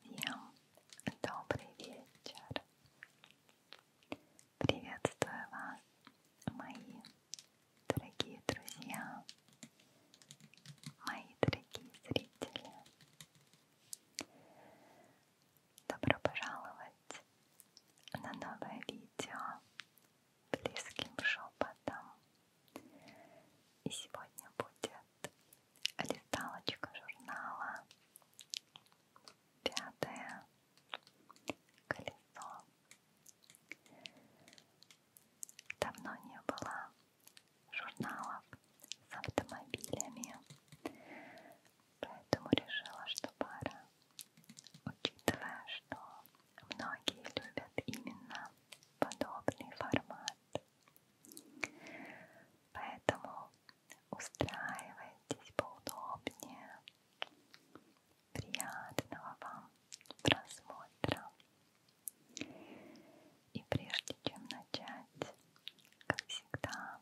Всем добрый вечер. Приветствую вас, мои дорогие друзья, мои дорогие зрители. Добро пожаловать на новое видео близким шепотом. И сегодня будет листалочка журнала «Пятое колесо». Давно не было журналов с автомобилями, поэтому решила, что пора, учитывая, что Многие любят именно подобный формат. Поэтому устраивайтесь поудобнее. Приятного вам просмотра. И прежде чем начать, как всегда,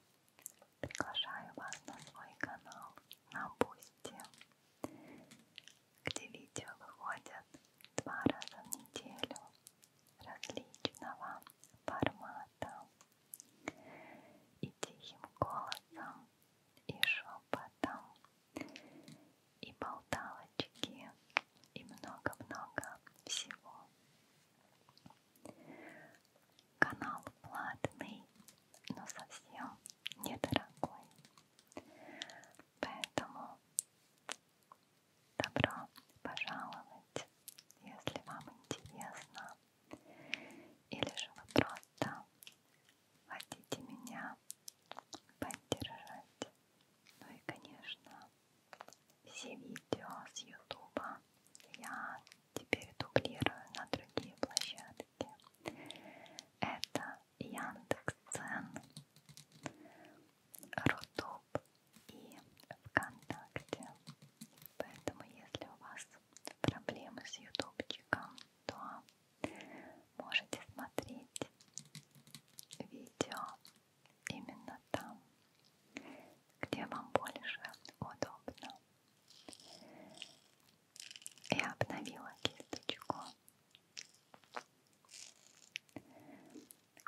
приглашаю вас на свой канал на Бусти, где видео выходят два раза в неделю различного формата и тихим голосом, и шепотом, и болталочки, и много-много всего. Канал платный, но совсем недорогой. Поэтому добро пожаловать, если вам интересно, или же вы просто хотите меня поддержать. Ну и, конечно, все видео с Ютуба я теперь дублирую на другие площадки. Это Яндекс.Цен, Рутуб и ВКонтакте. Поэтому, если у вас проблемы с ютубчиком, то можете смотреть видео именно там, где вам больше удобно и обновила кисточку.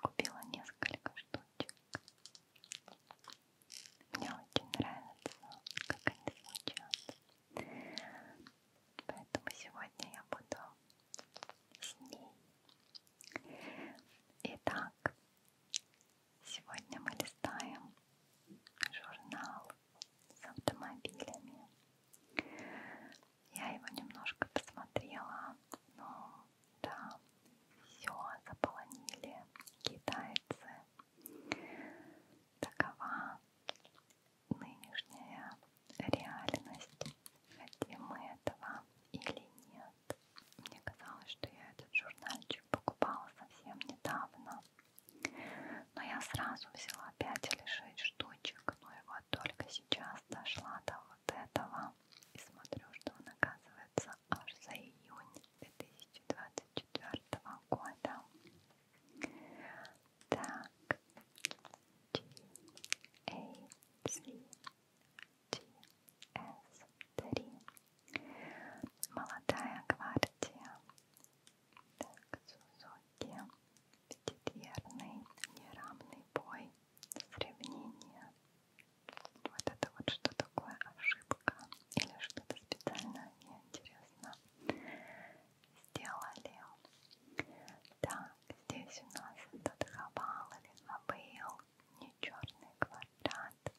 Купила несколько штучек. Мне очень нравится, как они звучат. Поэтому сегодня я буду с ней. Итак, сегодня мы листаем журнал с автомобилями. Я его немножко посмотрела, но да, все заполонили китайцы. Такова нынешняя реальность, хотим мы этого или нет. Мне казалось, что я этот журнальчик покупала совсем недавно, но я сразу взяла 5 или 6 штучек, но ну и вот только сейчас дошла до вот этого и смотрю, что он оказывается аж за июнь 2024 года. Так, G, A, C, G, S, 3. Молодая гвардия. Так, Сузуки, пятидверный, неравный бой, сравнение. Вот это вот что такое ошибка или что-то специально, мне интересно, сделали. Так, здесь у нас этот хавал или хабыл, не черный квадрат.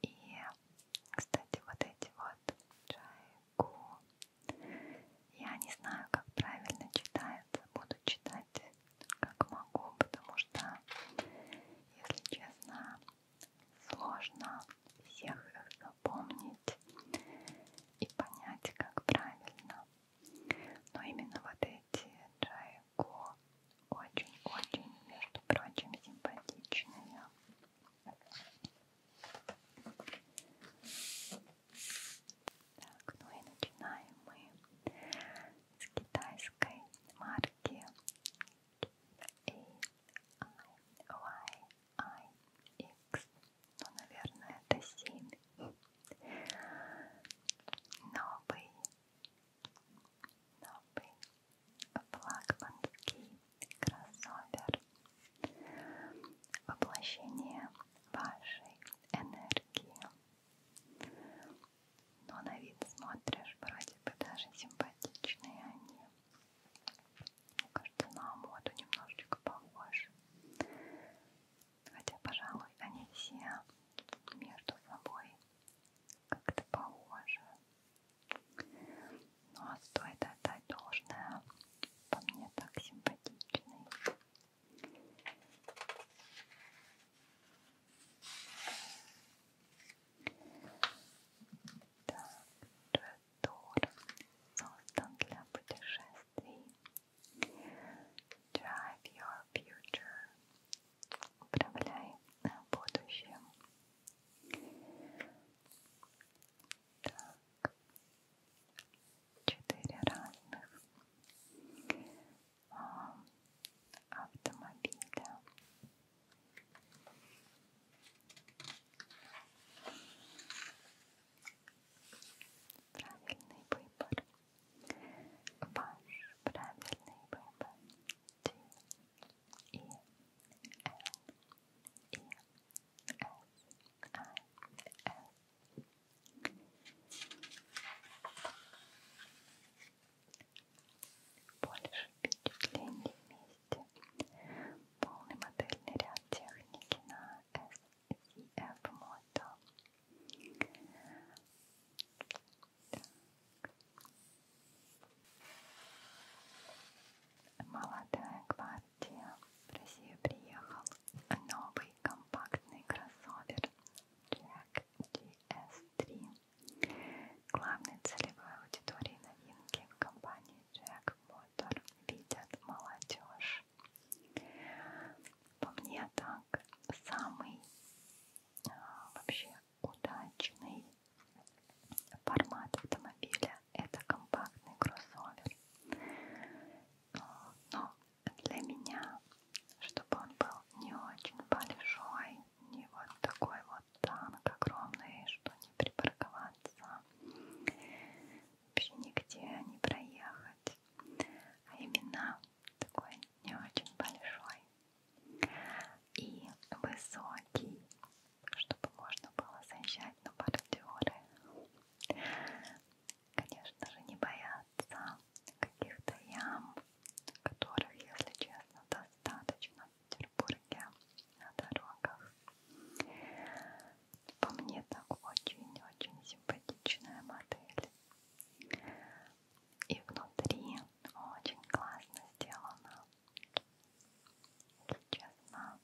И, кстати, вот эти вот джай Ку. Я не знаю, как правильно читается. Буду читать как могу, потому что, если честно, сложно всех их запомнить и понять, как правильно. Но именно вот эти джайко очень-очень, между прочим, симпатичные. Так, ну и начинаем мы с китайской марки AIYIX. Ну, наверное, это 7. Новый, новый флагманский кроссовер, воплощение вашей энергии. Но на вид смотришь, вроде бы даже симпатичные они. Мне кажется, на моду немножечко похожи. Хотя, пожалуй, они все между собой как-то похожи. Ну а стоит отдать должное, по мне так симпатичный. Так, Джедор создан для путешествий. Drive your future. Управляй э, будущим. Так. Четыре разных а, автомобиля. Правильный выбор. Ваш правильный выбор. Ти. E L E S I S. Больше впечатлений вместе. Полный модельный ряд техники на SCF Moto. Так. Молодая гвардия в Россию приехал новый компактный кроссовер Jack GS3. Главной целевой аудиторией новинки в компании Jack Motor видят молодежь. По мне так самый а, вообще удачный Формат автомобиля это компактный кроссовер. Но для меня, чтобы он был не очень большой, не вот такой вот танк огромный, что не припарковаться, вообще нигде не проехать, а именно такой не очень большой и высокий чтобы можно было заезжать на бордюры. Конечно же, не бояться каких-то ям, которых, если честно, достаточно в Петербурге на дорогах. По мне так очень-очень симпатичная модель. И внутри очень классно сделано. Честно,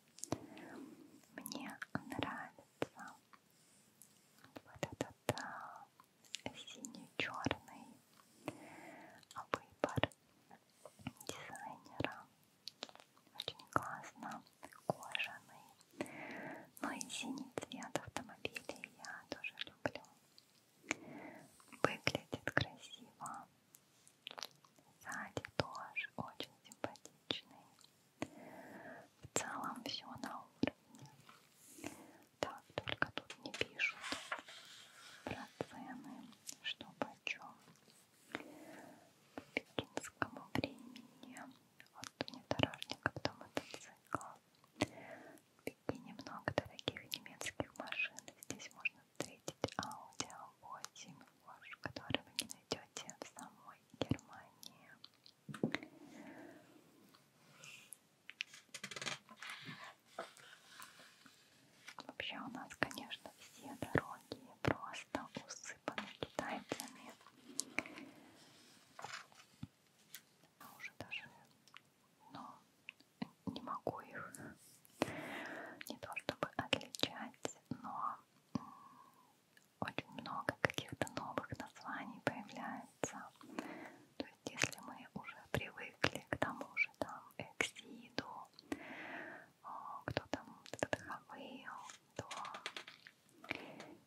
мне нравится вот этот да, синий-черный выбор дизайнера. Очень классно, кожаный. Ну и синий цвет автомобилей я тоже люблю. Выглядит красиво Сзади тоже очень симпатичный. В целом все на уровне. Так, только тут не пишут про цены, что почем. По пекинскому времени от внедорожника до мотоцикла. В Пекине много дорогих немецких машин. Здесь можно встретить Audi 8 Porsche, который вы не найдете в самой Германии. Вообще у нас, конечно, все дороги просто усыпаны китайцами. А уже даже, но ну, не могу их не то чтобы отличать, но очень много каких-то новых названий появляется. То есть если мы уже привыкли к тому же там эксиду, а, кто там вдохновил, то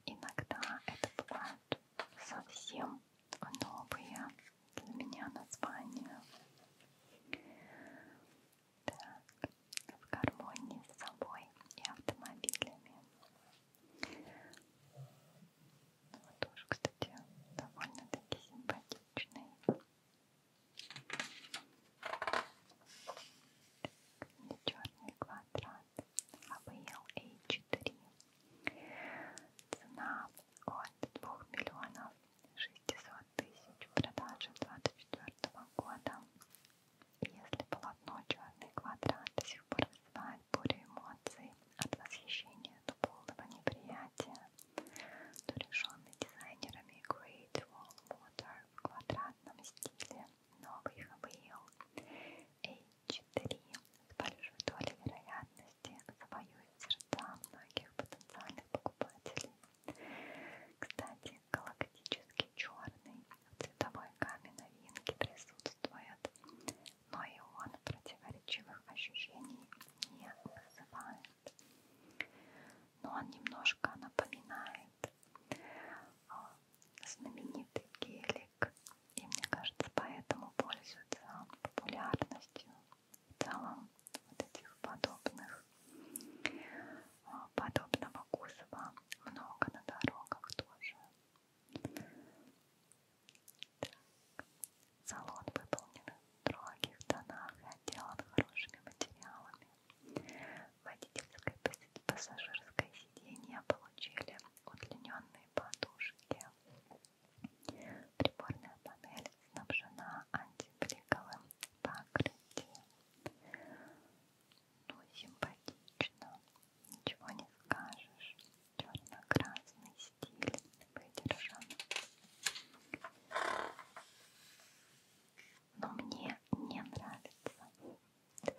иногда это бывают совсем новые для меня название. Так, в гармонии с собой и автомобилями. Ну, вот тоже, кстати, довольно-таки симпатичный. Не черный квадрат, AVL а H3. А Цена от 2 миллионов 600 тысяч продажи 24 года. Если полотно «Черный квадрат» до сих пор вызывает бурю эмоций от восхищения до полного неприятия, то решенный дизайнерами Great Wall Water в квадратном стиле новый хавейл H3 с большой долей вероятности новости завоюют сердца многих потенциальных покупателей. Кстати, галактический черный в цветовой гамме новинки присутствует, но и он противоречивых ощущений не вызывает. Но он немножко напоминает а, знаменитый гелик, и мне кажется, поэтому пользуется популярностью в целом вот этих подобных а, подобного кузова много на дорогах тоже так. салон выполнен в строгих тонах и отделан хорошими материалами водительское и пассажирское сиденье получили удлиненные подушки Приборная панель снабжена антибриковым покрытием. Ну, симпатично, ничего не скажешь. Черно-красный стиль выдержан. Но мне не нравится.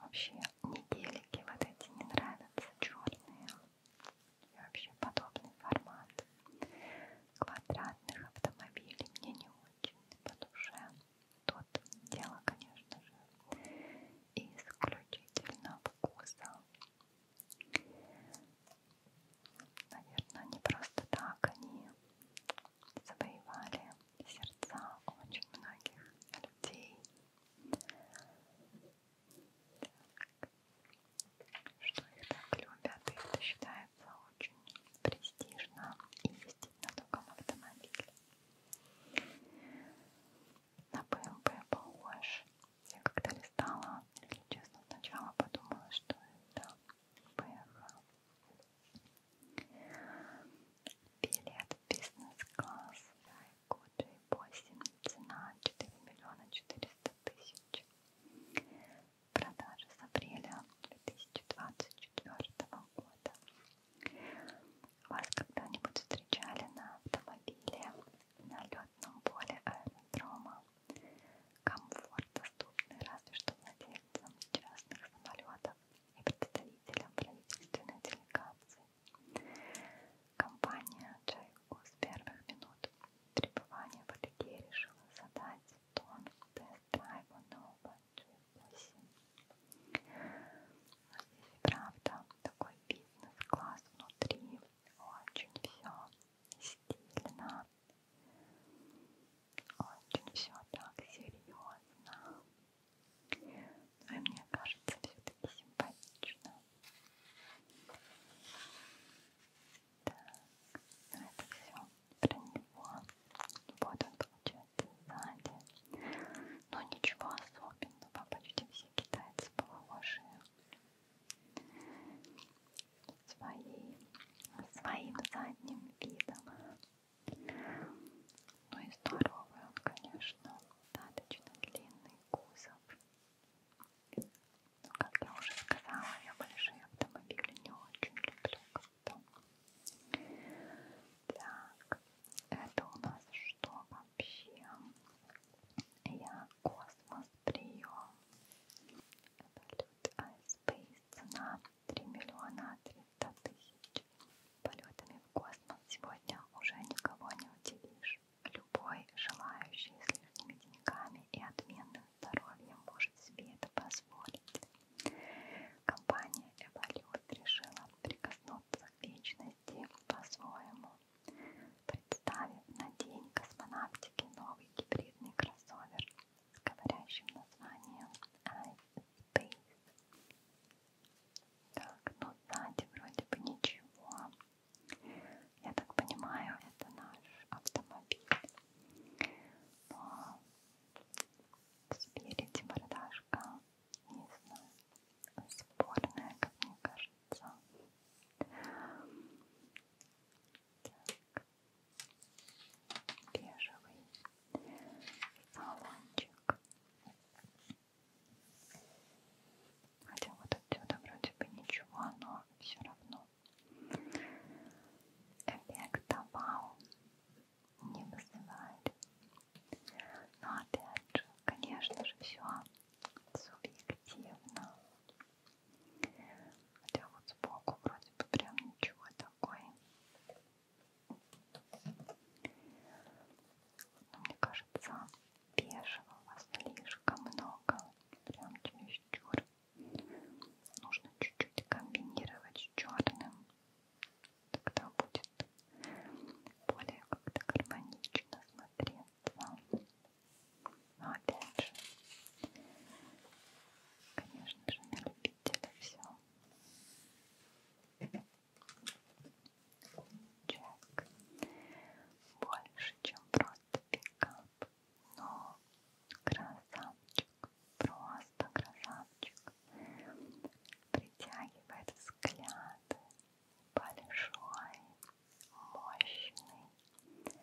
Вообще, мне гелики вот эти не нравятся, черные и вообще подобный формат квадратных автомобилей мне не очень по душе. Тут дело, конечно же, исключительно вкуса. Наверное, не просто так они завоевали сердца очень многих людей что их так любят, и это считается очень престижно и ездить на таком автомобиле. На БМП похож. Я когда листала, если честно, сначала подумала, что это БМВ. Билет бизнес-класс Тайкуджи 8, цена 4 миллиона 400 тысяч. Продажи с апреля 2024 года. Вас когда-нибудь встречали на автомобиле на летном поле аэродрома? Комфорт доступный разве что владельцам частных самолетов и представителям правительственной делегации. Компания Джейку с первых минут Требование Валерия решила задать тон тест-драйва нового G8. Но ну, здесь и правда такой бизнес-класс внутри, очень все стильно, очень все так серьезно. Ну и мне кажется, все-таки симпатично. Так, ну это все про него. Вот он получается сзади. Но ну, ничего особенного, почти все китайцы похожи. Своим, своим задним видом. Ну и здоровый он, конечно, достаточно длинный кузов. Но, как я уже сказала, я большие автомобили не очень люблю. Как-то. Так, это у нас что вообще? Я космос прием. Это лед Айспейс. Цена 3 миллиона 300 тысяч. Полетами в космос сегодня уже никого не удивишь. Любой желающий с лишними деньгами и отменным здоровьем может себе это позволить. Компания Эволют решила прикоснуться к вечности по-своему, представив на день космонавтики новый гибридный кроссовер с говорящим названием iSpace. Так, ну сзади вроде бы ничего. Я так понимаю, это наш автомобиль. Но спереди мордашка, не знаю, спорная, как мне кажется. Так. Бежевый салончик. Хотя вот отсюда вроде бы ничего, но все равно эффекта вау не вызывает. Но опять же, конечно же, все субъективно. Хотя вот сбоку вроде бы прям ничего такое. Но мне кажется, бежевого слишком много, прям чересчур. Нужно чуть-чуть комбинировать с черным, тогда будет более как-то гармонично смотреться. Но опять же, конечно же, на любителя все. Чек больше, чем просто пика топ. Но красавчик, просто красавчик. Притягивает взгляд. Большой, мощный,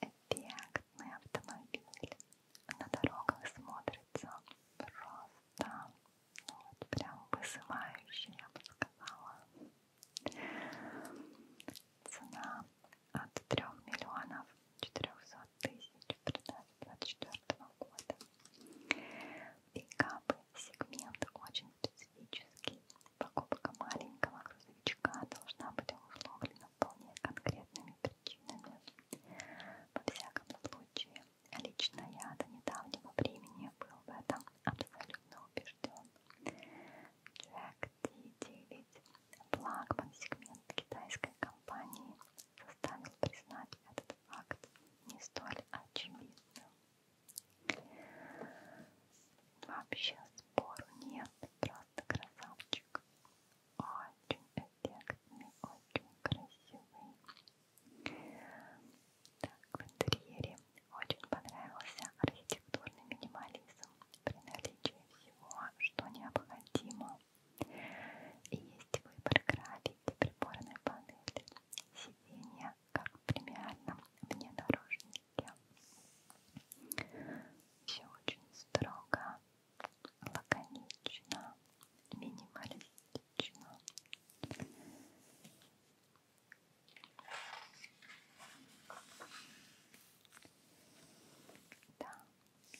эффектный автомобиль. На дорогах смотрится просто ну, вот прям вызывающе, я бы сказала. Цена от 3 миллионов 400 тысяч в продаже 2024 года. Пикапы сегмент очень специфический. Покупка маленького грузовичка должна быть условлена вполне конкретными причинами. Во всяком случае, лично я до недавнего времени был в этом абсолютно убежден. Jack D9, флагман сегмент китайской компании, заставил признать этот факт не столь очевидным. Вообще спору нет, просто красавчик. Очень эффектный, очень красивый. Так, в интерьере очень понравился архитектурный минимализм при наличии всего, что необходимо. И есть выбор графики приборной панели, сиденья, как в премиальном внедорожнике. Все очень строго, лаконично, минималистично. Да,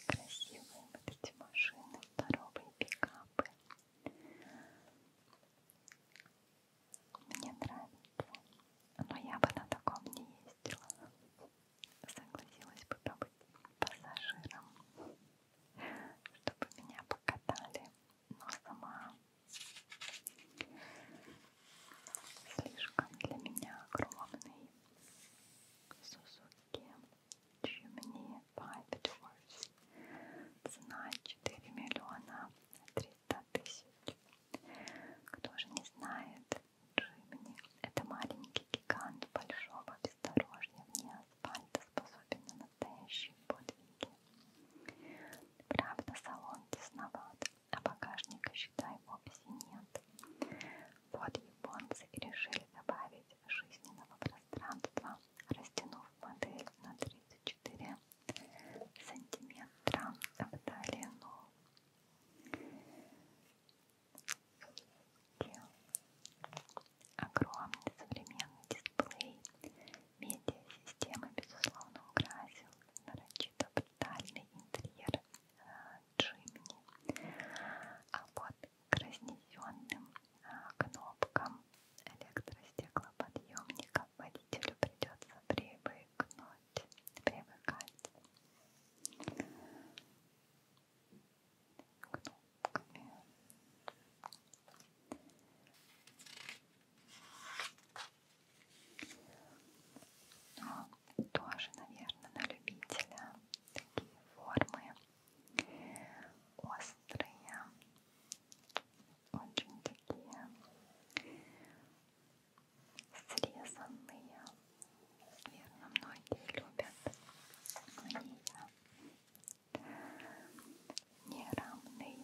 красивые вот эти машины, здоровые пикапы. Мне нравится. Но я бы на таком не ездила. Согласилась бы побыть пассажиром, чтобы меня покатали но сама слишком для меня огромный Сузуки Chimney Five Doors цена 4 миллиона 300 тысяч кто же не знает Джимни это маленький гигант большого бездорожья вне асфальта способен на настоящие подвиги Правда, салон тесноват, а багажника, считай, вовсе нет. Вот японцы и решили добавить жизненного пространства, растянув модель на 34 сантиметра в долину. Огромный современный дисплей Медиа-система, безусловно, украсил нарочито брутальный интерьер э, Джимни. А под краснезенным э, кнопкам электростеклоподъемника водителю придется привыкнуть, привыкать кнопками. Но ну, тоже, наверное, на любителя такие формы острые, очень такие срезанные. Верно, многие любят. Мне неравный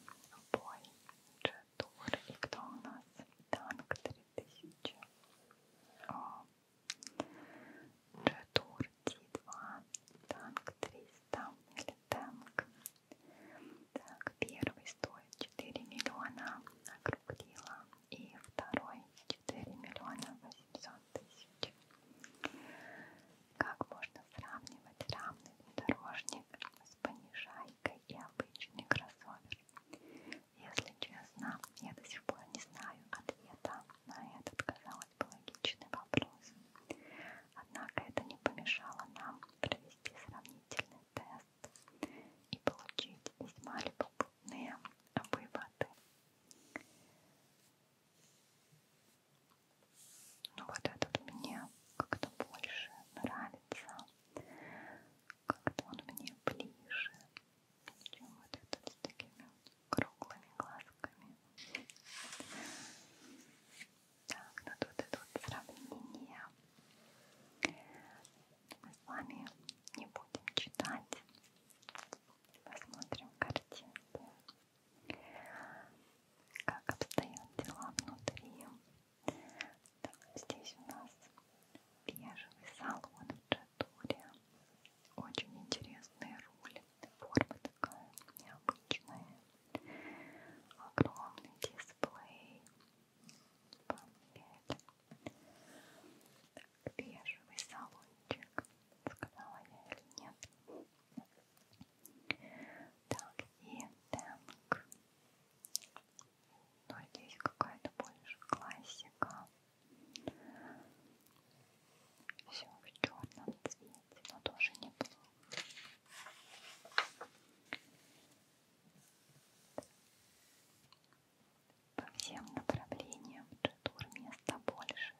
бой. Джек тур. И кто у нас? Танк 3000. О. Тур Т2. Танк 300 или танк. Так, первый стоит 4 миллиона округлила. И второй 4 миллиона 800 тысяч. Как можно сравнивать равный внедорожник с понижайкой? и обычный кроссовер. Если честно, я до сих пор не знаю ответа на этот, казалось бы, логичный вопрос. Однако это не помешало нам провести сравнительный тест и получить весьма любопытные выводы. Ну вот этот мне как-то больше нравится. Как-то он мне ближе, чем вот этот с такими круглыми глазками. Так, ну тут идут сравнения. Мы с вами не будем читать. Посмотрим картинки. Как обстоят дела внутри так, здесь у нас бежевый салон в джатуре. Очень интересная руль. Форма такая необычная. Огромный дисплей. Бомбет. Так, бежевый салончик. Сказала я или нет? Так, и танк но ну, здесь какая-то больше классика. Все в черном цвете, но тоже неплохо. По всем направлениям джитур места больше,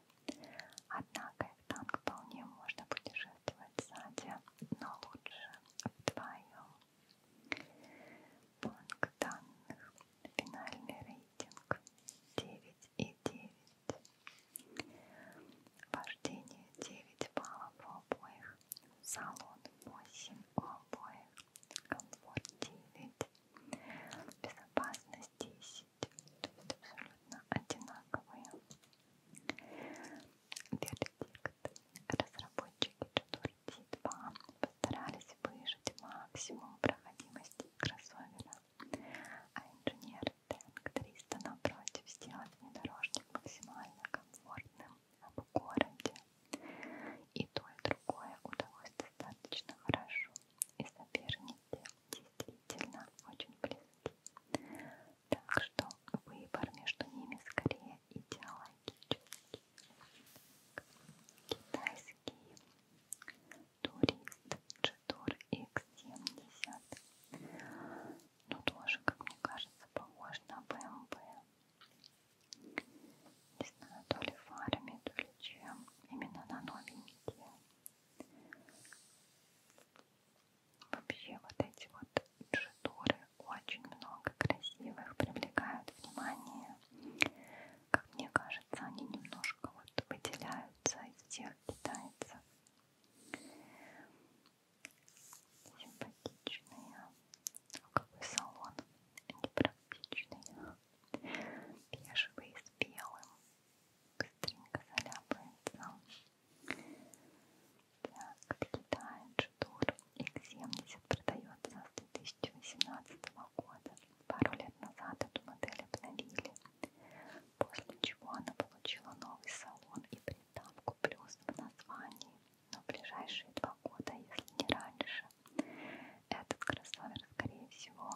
однако их танк вполне можно путешествовать участвовать сзади, но лучше вдвоем. Банк данных. Финальный рейтинг 9,9. Вождение 9 баллов у обоих. Салон 8 у обоих. Комфорт 9. Безопасность 10. То есть абсолютно одинаковые. Вердикт. Разработчики Jodority 2 постарались выжать максимум проходимости кроссовера, а инженеры Tank 300 напротив сделать внедорожник максимально комфортным в городе. И то, и другое удалось достаточно хорошо, и соперники действительно очень близки. Так что выбор между ними скорее идеологический. Китайский турист G-Tour X70. Ну тоже, как мне кажется, похож на BMW. Не знаю, то ли фарами, то ли чем. Именно на новенькие. Вообще вот эти вот джитуры очень много красивых, привлекают внимание. Как мне кажется, они немножко вот выделяются из всех китайцев. Симпатичные. Ну, Какой салон непрактичный. Бежевый с белым. Быстренько заляпается. Так, Китай Джидур X70 продается с 2018 года. Пару лет назад эту модель обновили, после чего она получила новый салон и приставку плюс в названии. Но в ближайшие два года, если не раньше, этот кроссовер, скорее всего,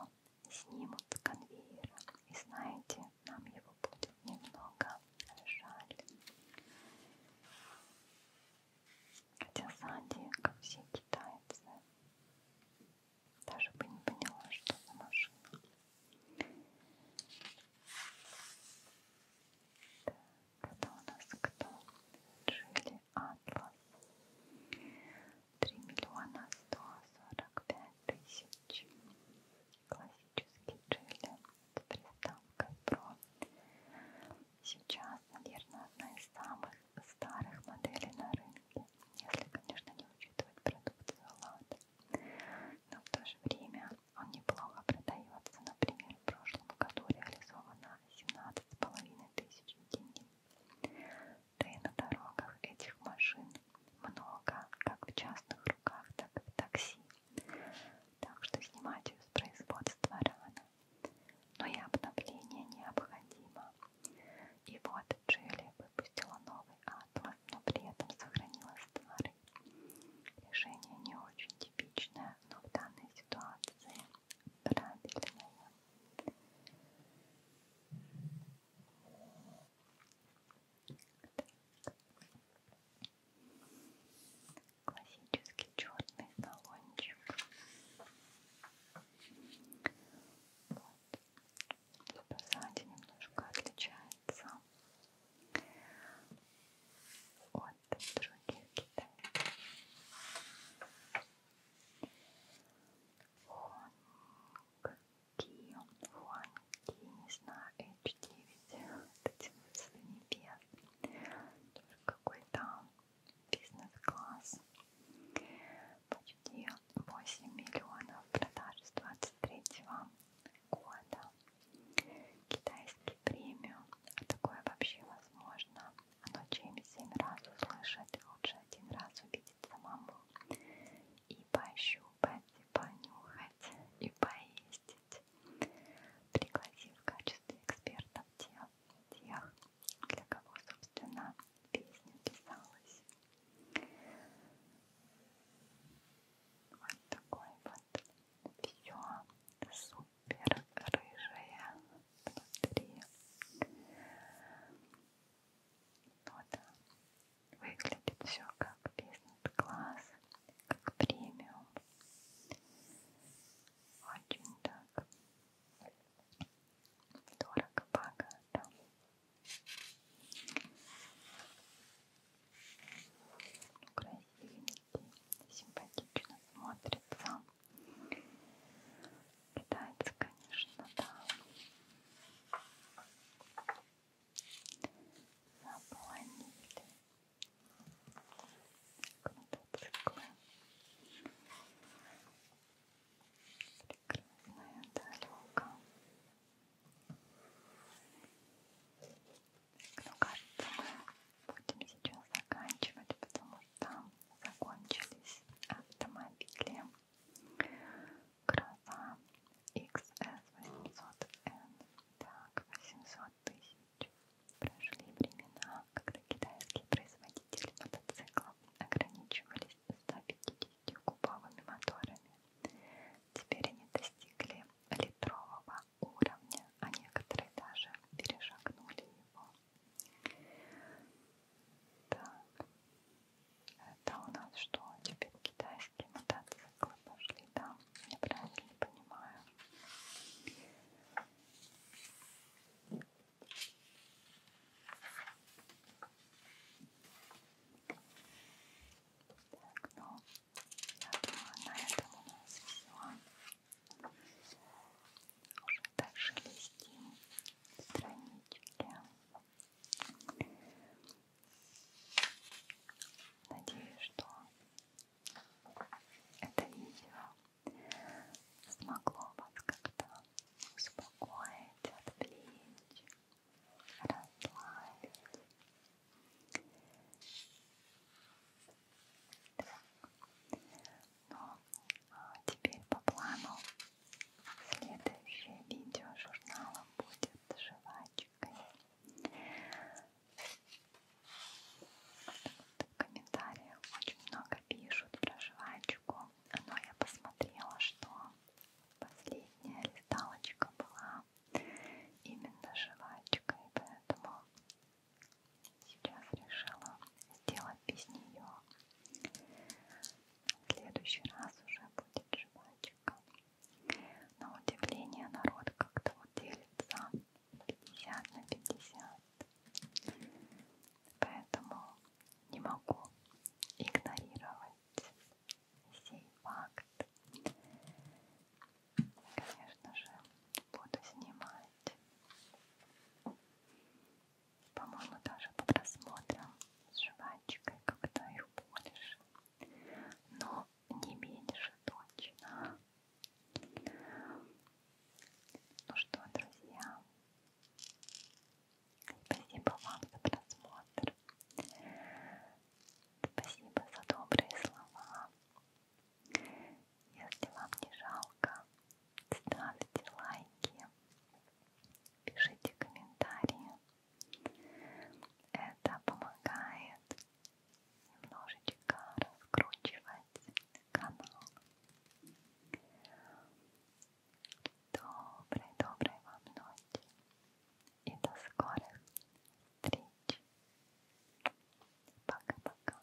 снимут с конвейера. И знаете, нам его будет немного жаль. Хотя сзади, как все китайцы, даже бы не поняла, что за машина. Так, это у нас кто? Джили Атлас. 3 миллиона 145 тысяч классический джель с приставкой Pro. Сейчас, наверное, одна из самых старых моделей на рынке, если, конечно, не учитывать продукцию Лада. Но в то же время он неплохо продается. Например, в прошлом году реализовано 17,5 тысяч единиц. Да и на дорогах этих машин много, как в частных руках, так и в такси. Так что снимать ее с производства рано. Но и обновление необходимо. И вот Джили выпустила новый атлас, но при этом сохранила старый. Решение не очень типичное, но в данной ситуации правильное. Так классический черный баллончик. Вот. Сзади немножко отличается от других китайцев. Хуанг Ки, Хуанг Кинешна H9 дотянуться до небес. Только какой-то бизнес-класс. Почти 8 миллионов продаж с 23 года. Китайский премиум. А такое вообще возможно. Оно чем 7 раз услышать, лучше один раз увидеть самому. И и пощупать, и понюхать, и поездить, пригласив в качестве экспертов тех, тех для кого, собственно, песня писалась. Вот такой вот все супер рыжая внутри. Ну да, Выглядит все как бизнес-класс, как премиум. Очень так дорого, богато. Красивенький, симпатично смотрится. Китайцы, конечно, да заполонили круто прекрасная дорога ну кажется мы будем сейчас заканчивать потому что закончились автомобили гроза XS 800N. Так, 800 тысяч. Прошли времена, когда китайские производители мотоциклов ограничивались 150 кубовыми моторами. Теперь они достигли литрового уровня, а некоторые даже перешагнули его. Так, это у нас что? Теперь Китай дорожки мотоцикла пошли, да? Я правильно понимаю. Так, ну, я думаю, на этом у нас все. Уже дальше листим странички. Надеюсь, что это видео смогло вас как-то успокоить, отвлечь, расслабить. Так. Ну, а теперь по плану следующее видео журнала будет жвачка ручкой. Вот в комментариях очень много пишут про жвачку, но я посмотрела, что последняя листалочка была именно жвачкой, поэтому сейчас решила сделать без нее. В следующий раз уже будет жвачка. На удивление народ как-то вот делится 50 на 50. Поэтому не могу игнорировать сей факт. Конечно же, буду снимать. По-моему, даже по просмотрам с жвачкой, когда их полишь. Но не меньше точно. Ну что, друзья, спасибо вам за просмотр. Спасибо за добрые слова. Если вам не жалко, ставьте лайки, пишите комментарии. Это помогает немножечко раскручивать канал. Доброй-доброй вам ночи и до скорых встреч. Пока-пока. Пока.